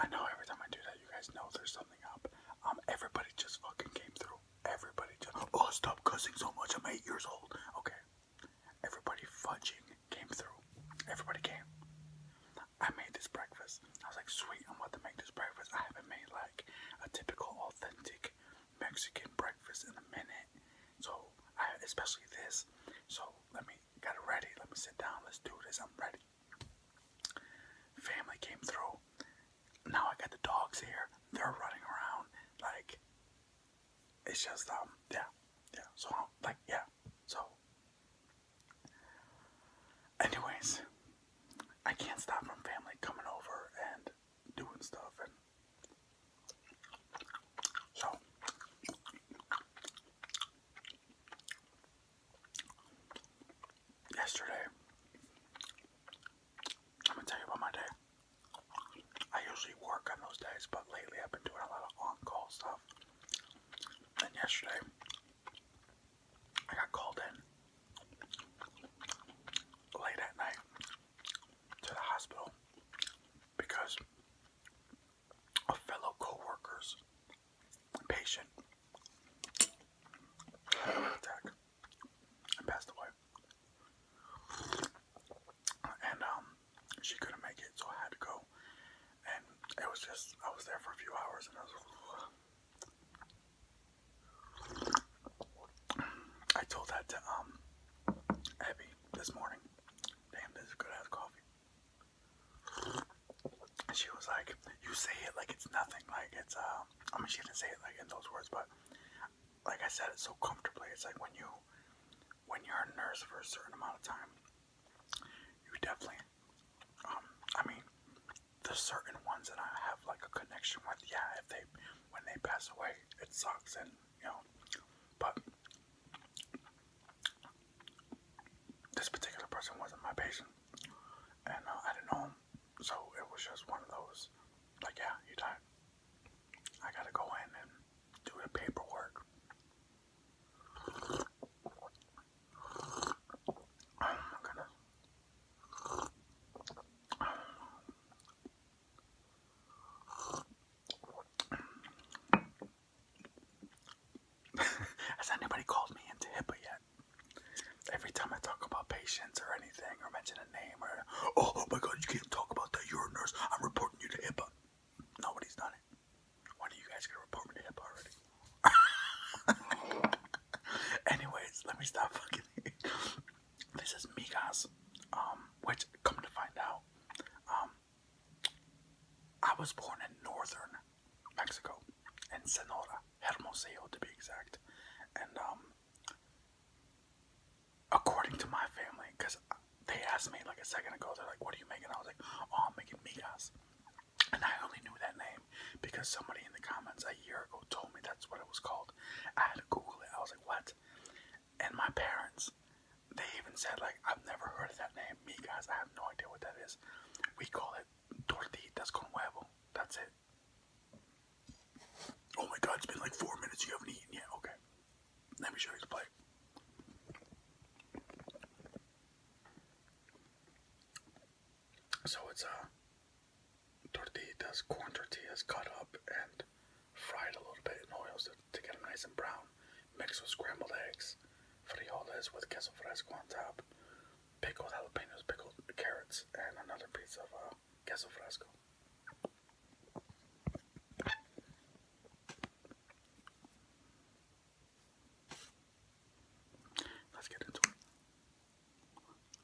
I know every time I do that, you guys know there's something up. Um, everybody just fucking came through. Everybody just. Oh, stop cussing so much. I'm eight years old. Okay. Everybody fudging came through. Everybody came. I made this breakfast. I was like, sweet, I'm about to make this breakfast. I haven't made like a typical authentic Mexican breakfast in a minute. So I especially this. So let me get it ready. Let me sit down. Let's do this. I'm ready. Family came through. Now I got the dogs here. They're running around like it's just um yeah yeah so like yeah so anyways I can't stop from family coming over and doing stuff and so yesterday I'm gonna tell you about my day. I usually work on those days, but lately I've been doing a lot of on-call stuff. And yesterday I got called in late at night to the hospital because of fellow co-workers, patient, had a heart attack and passed away. And um, she couldn't make it, so I had to go. And it was just, I was there for a few hours and I was. I told that to um Abby this morning. Damn, this is good ass coffee. she was like, You say it like it's nothing. Like it's, uh, I mean, she didn't say it like in those words, but like I said it so comfortably. It's like when you, when you're a nurse for a certain amount of time, you definitely, um, I mean, there's certain ones that I have like a connection with. Yeah, if they, when they pass away, it sucks and you know. But this particular person wasn't my patient, and uh, I didn't know him, so it was just one of those. Like, yeah, you died. I gotta go in and do the paperwork. Oh Has anybody called me into HIPAA yet? Every time I talk about patients or anything or mention a name or, oh, oh my god, you can't talk about that, you're a nurse, I'm reporting you to HIPAA. Nobody's done it. When are you guys gonna report me to HIPAA already? Anyways, let me stop fucking. This is Migos, um, which come to find out, um, I was born in northern Mexico, in Sonora, Hermosillo to be exact, and um, according to my family, because they asked me like a second ago, they're like, "What are you making?" I was like, "Oh, I'm making migas," And I only knew that name because somebody in the comments a year ago told me that's what it was called. I had to Google it. I was like, what? And my parents, they even said, like, I've never heard of that name. Me guys, I have no idea what that is. We call it That's tortillas con huevo. That's it. Oh my god, it's been like four minutes. You haven't eaten yet. Okay. Let me show you the plate. So it's uh tortillas, corn tortillas cut up and fried a little bit in oils to, to get them nice and brown. Mixed with scrambled eggs, frijoles with queso fresco on top, pickled jalapenos, pickled carrots, and another piece of uh, queso fresco. Let's get into it.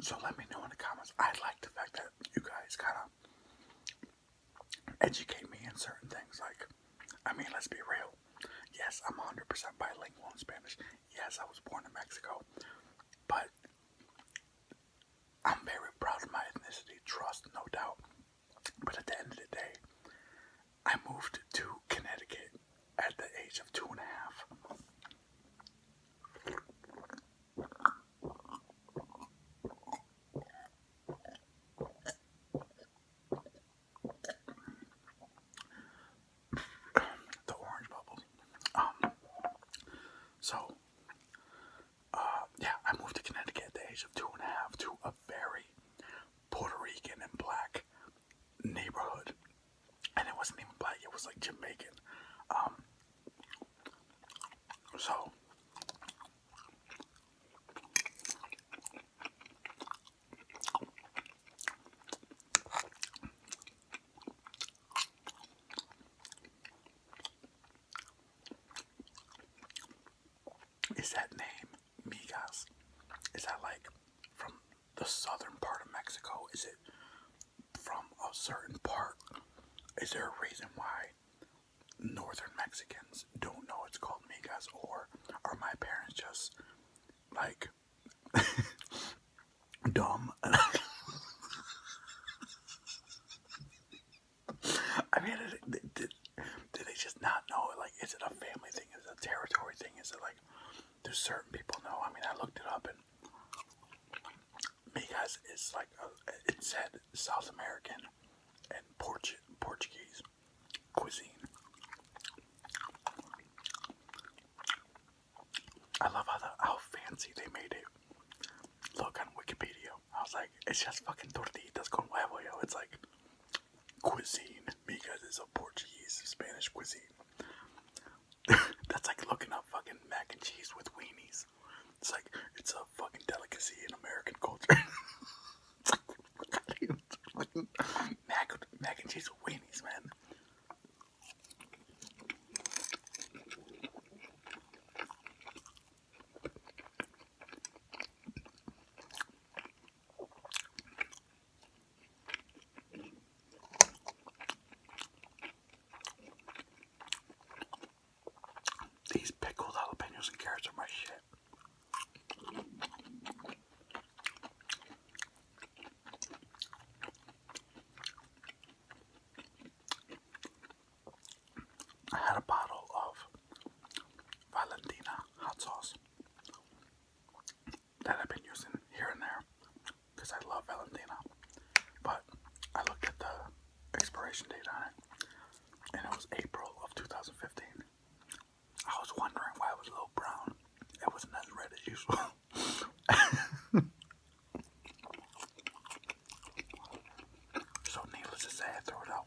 So let me know in the comments. I like the fact that you guys kind of educate me in certain things. Like, I mean, let's be real. Yes, I'm 100% bilingual in Spanish. Yes, I was born in Mexico. But I'm very proud of my ethnicity, trust, no doubt. But at the end of the day, I moved to Connecticut at the age of two and a half. the orange bubbles. Um, so, uh, yeah, I moved to Connecticut at the age of two and a half to a very Puerto Rican and black neighborhood, and it wasn't even black; it was like Jamaican. Um, so is that name migas? Is that like from the southern part of Mexico? Is it from a certain part? Is there a reason why northern Mexicans don't know it's called migas? Or are my parents just like dumb? I mean, it, do they just not know? Like, is it a family thing? Is it a territory thing? Is it like, do certain people know? I mean, I looked it up and Migas it's like, it said South American and Portu Portuguese cuisine. I love how, how fancy they made it. Look on Wikipedia. I was like, it's just fucking tortillas con huevo, yo. It's like, cuisine because it's a Portuguese Spanish cuisine. That's like looking up fucking mac and cheese with weenies. It's like it's a fucking delicacy in American culture. mac, mac and cheese with weenies, man. These pickled jalapenos and carrots are my shit. I had a bottle of Valentina hot sauce that I've been using here and there because I love Valentina. But I looked at the expiration date on it and it was April of 2015. I was wondering why it was a little brown. It wasn't as red as usual. so, needless to say, I threw it out.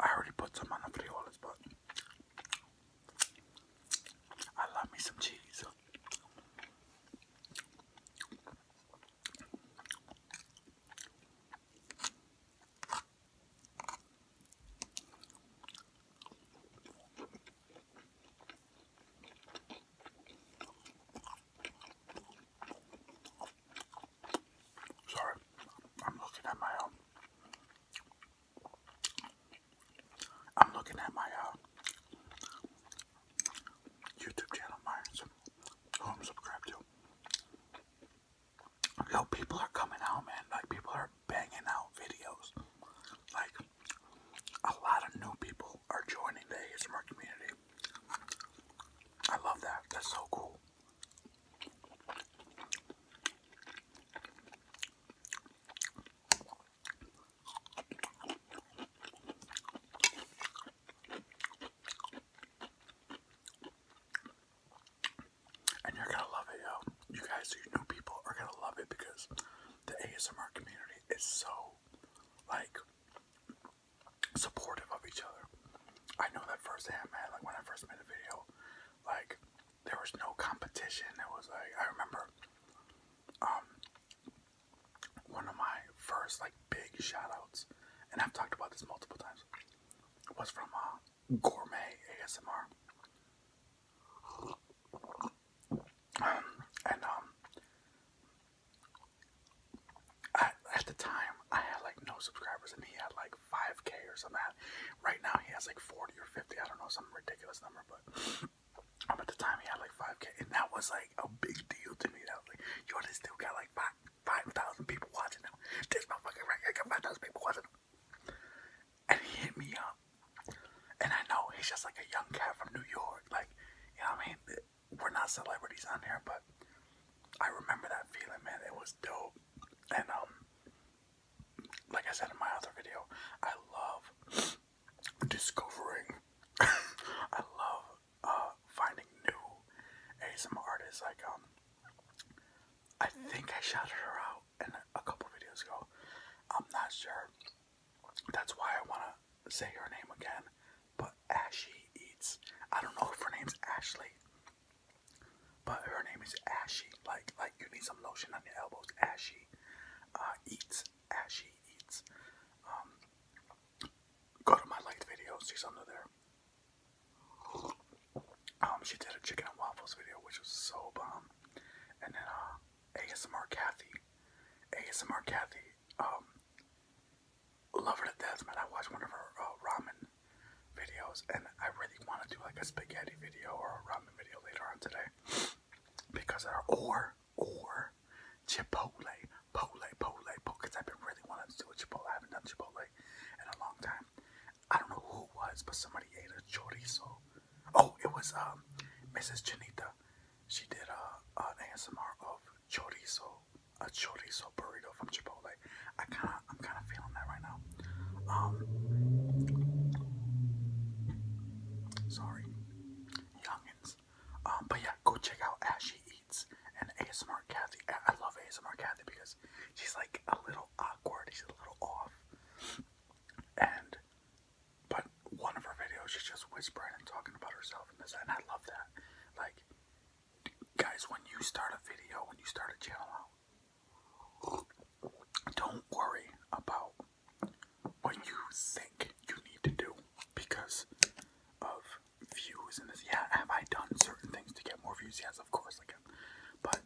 I already put some on the frijoles, but I love me some cheese. Sorry, I'm looking at my um, I'm looking at my uh, YouTube channel, my who I'm um, subscribed to. Yo, people are coming out, man. Like people are banging out videos. Like a lot of new people are joining the ASMR community. I love that. That's so cool. And you're gonna love it, yo. You guys, you new people, are gonna love it because the ASMR community is so like supportive of each other. I know that firsthand, man. Like when I first made a video, like there was no competition. It was like I remember, um, one of my first like big shout outs, and I've talked about this multiple times, was from uh, Gourmet ASMR. Um, and um, I, at the time, I had like no subscribers, and he had like 5k or something. Right now, he has like 40 or 50. I don't know, some ridiculous number, but I'm um, at the time, he had like 5k, and that was like a big deal to me. That was like, yo, this still got like 5,000 people watching now. This my motherfucker right here got 5,000 people watching him. And he hit me up, and I know he's just like a young cat from New York. Like, you know what I mean? We're not celebrities on here, but I remember that feeling, man. It was dope. And um like I said in my other video, I love discovering I love uh finding new ASMR artists like um I think I shouted her out in a couple videos ago. I'm not sure. That's why I wanna say her name again. But Ashy eats. I don't know if her name's Ashley, but her name is Ashy. Like like you need some lotion on your elbows. Ashy uh, eats. Ashy eats. Um, go to my liked videos. She's under there. Um, she did a chicken and waffles video, which was so bomb. And then uh, ASMR Kathy, ASMR Kathy, um, love her to death, man. I watched one of her uh, ramen videos, and I really want to do like a spaghetti video or a ramen video later on today because of her, or, or Chipotle, Pole, Pole, Pole, because I've been really wanting to do a Chipotle. I haven't done Chipotle in a long time. I don't know who it was, but somebody ate a chorizo. Oh, it was um, Mrs. Janita. She did uh, a an ASMR of chorizo, a chorizo burrito from Chipotle. I kind of, I'm kind of feeling that right now. Um, sorry, youngins. Um, but yeah, go check out Ashy Eats and ASMR Kathy. I love ASMR Kathy because she's like a little awkward. She's a little off, and but one of her videos, she's just whispering and talking about herself and this, and I love that. Like, guys, when you start a video, when you start a channel don't worry about what you think you need to do because of views and this. Yeah, have I done certain things to get more views? Yes, of course, like, but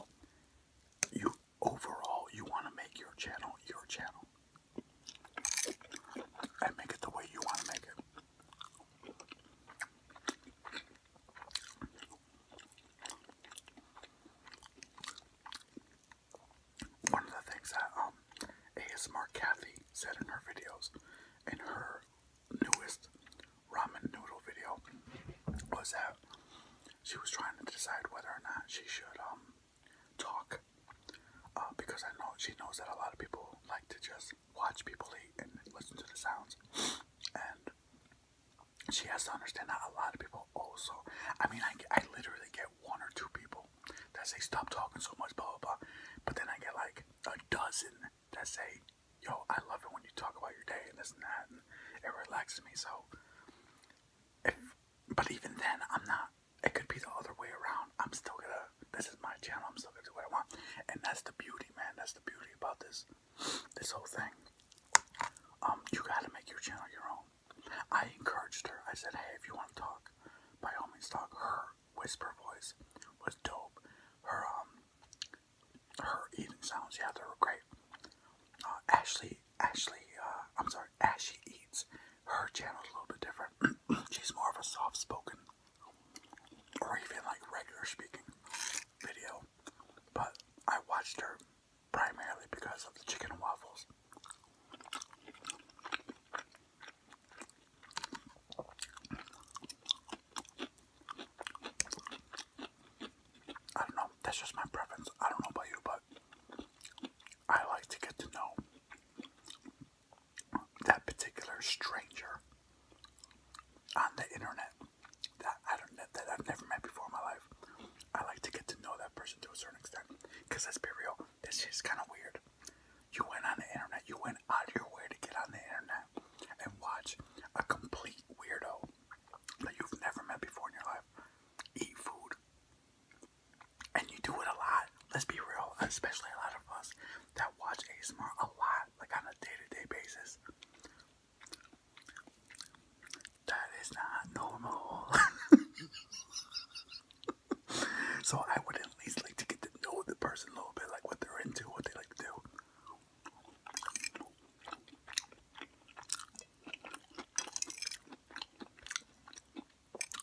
you overall, you want to make your channel your channel and make it the way you want to make it. One of the things that um, ASMR Kathy said in her videos, in her newest ramen noodle video, was that she was trying to decide whether or not she should um, talk, uh, because I know she knows that a lot of people like to just watch people eat and listen to the sounds. And she has to understand that a lot of people also, I mean, I, I literally get one or two people that say, stop talking so much, blah, blah, blah. But then I get like a dozen that say, yo, I love it when you talk about your day and this and that. And it relaxes me. So, if, but even then, I'm not, it could be the other way around. I'm still gonna. This is my channel. I'm still gonna do what I want, and that's the beauty, man. That's the beauty about this, this whole thing. Um, you gotta make your channel your own. I encouraged her. I said, hey, if you want to talk, by all means, talk. Her whisper voice was dope. Her um, her eating sounds, yeah, they were great. Uh, Ashley, Ashley, uh, I'm sorry, Ashley eats. Her channel's a little bit different. She's more of a soft-spoken or even like regular speaking video, but I watched her primarily because of the chicken waffles. I don't know, that's just my preference. I don't know about you, but I like to get to know that particular stranger on the internet that I don't that I've never met before in my life. I like to get to know that person to a certain extent. Cause let's be real, this is kinda weird. You went on the internet, you went out of your way to get on the internet and watch a complete weirdo that you've never met before in your life eat food. And you do it a lot. Let's be real, especially a lot of us that watch ASMR a lot, like on a day-to-day basis. That is not normal. so I would at least like to get to know the person a little bit, like what they're into, what they like to do.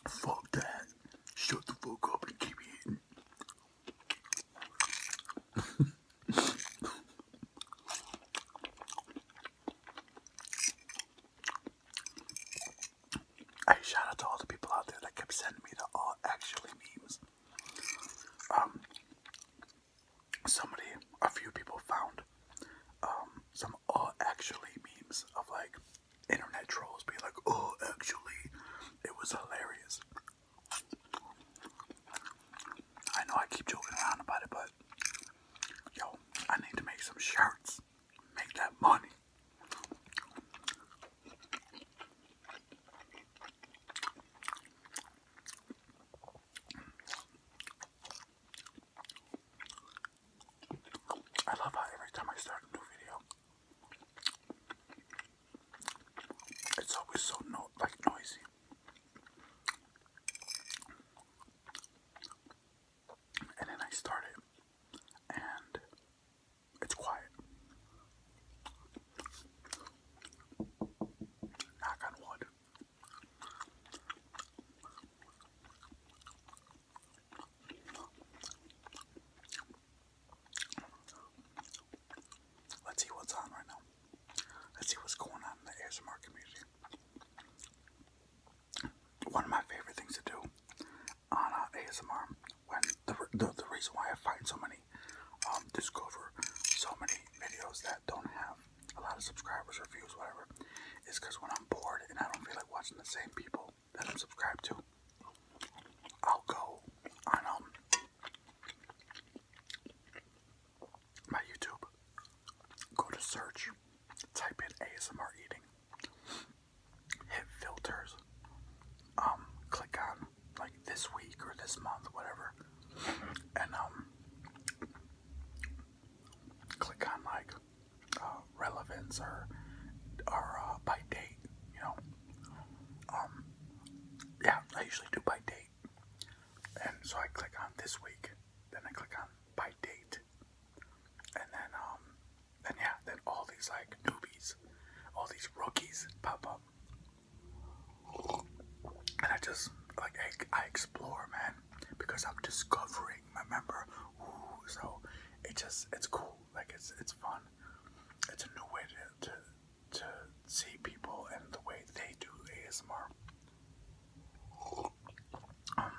Fuck that. Shut the fuck up and keep eating. hey, shout out to all the people out there that kept sending me the all actually memes. Um, somebody, a few people found um, some all actually memes of like internet trolls be like, oh, actually, it was hilarious. I know I keep joking around about it, but yo, I need to make some shirts, make that money. I love how every time I start a new video, it's always so no like noisy. And then I start it, and it's quiet. Knock on wood. Let's see what's on right now. Let's see what's going on in the ASMR community. One of my favorite things to do on uh, ASMR, when the, the, reason why I find so many, um, discover so many videos that don't have a lot of subscribers or views, whatever, is because when I'm bored and I don't feel like watching the same people, that I'm subscribed to, I'll go on um, my YouTube, go to search, type in ASMR eating, hit filters, um, click on like this week or this month, whatever, and um click on like uh, relevance or or uh, by date, you know. Um, yeah, I usually do by date, and so I click on this week, then I click on by date, and then um, then yeah, then all these like newbies, all these rookies pop up, and I just like I explore, man, because I'm discovering ring, remember? so it just it's cool. Like it's it's fun. It's a new way to to, to see people and the way they do ASMR. Um.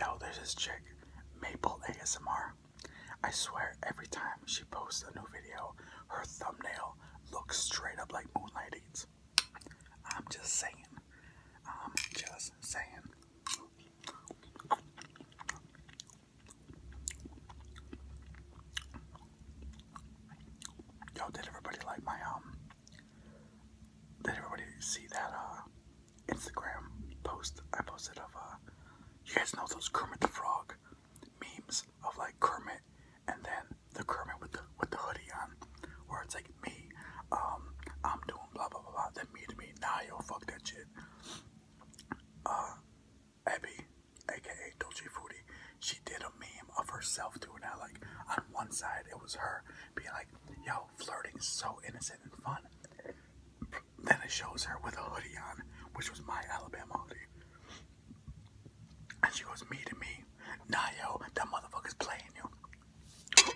Yo, there's this chick, Maple ASMR. I swear, every time she posts a new video, her thumbnail looks straight up like Moonlight Moonlighting's. I'm just saying. I'm just saying. Yo, did everybody like my um? Did everybody see that uh Instagram post I posted of uh you guys know those Kermit the Frog memes of like Kermit and then the Kermit with the with the hoodie on where it's like me, um, I'm doing blah blah blah blah then me to me, nah yo fuck that shit. Uh Abby, aka Dolce Foodie, she did a meme of herself doing that. Like on one side it was her being like, yo, flirting is so innocent and fun. Then it shows her with a hoodie on, which was my Alabama hoodie. And she goes, me to me. Nayo, yo, that motherfucker's playing you.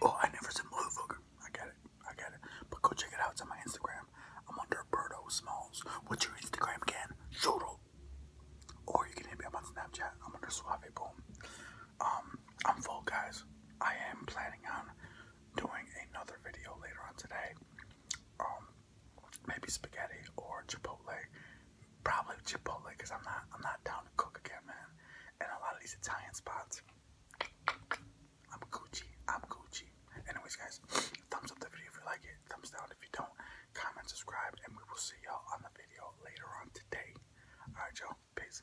Oh, I never said motherfucker. I got it. I got it. But go check it out. It's on my Instagram. I'm under Birdo Smalls. What's your Instagram again? Shoto. Or you can hit me up on Snapchat. I'm under Suave Boom. Um, I'm full, guys. I am planning on doing another video later on today. Um, maybe spaghetti or chipotle. Probably chipotle because I'm not I'm not down to cook again, man. And a lot of these Italian spots. I'm Gucci. I'm Gucci. Anyways, guys, thumbs up the video if you like it. Thumbs down if you don't. Comment, subscribe, and we will see y'all on the video later on today alright yo, Peace.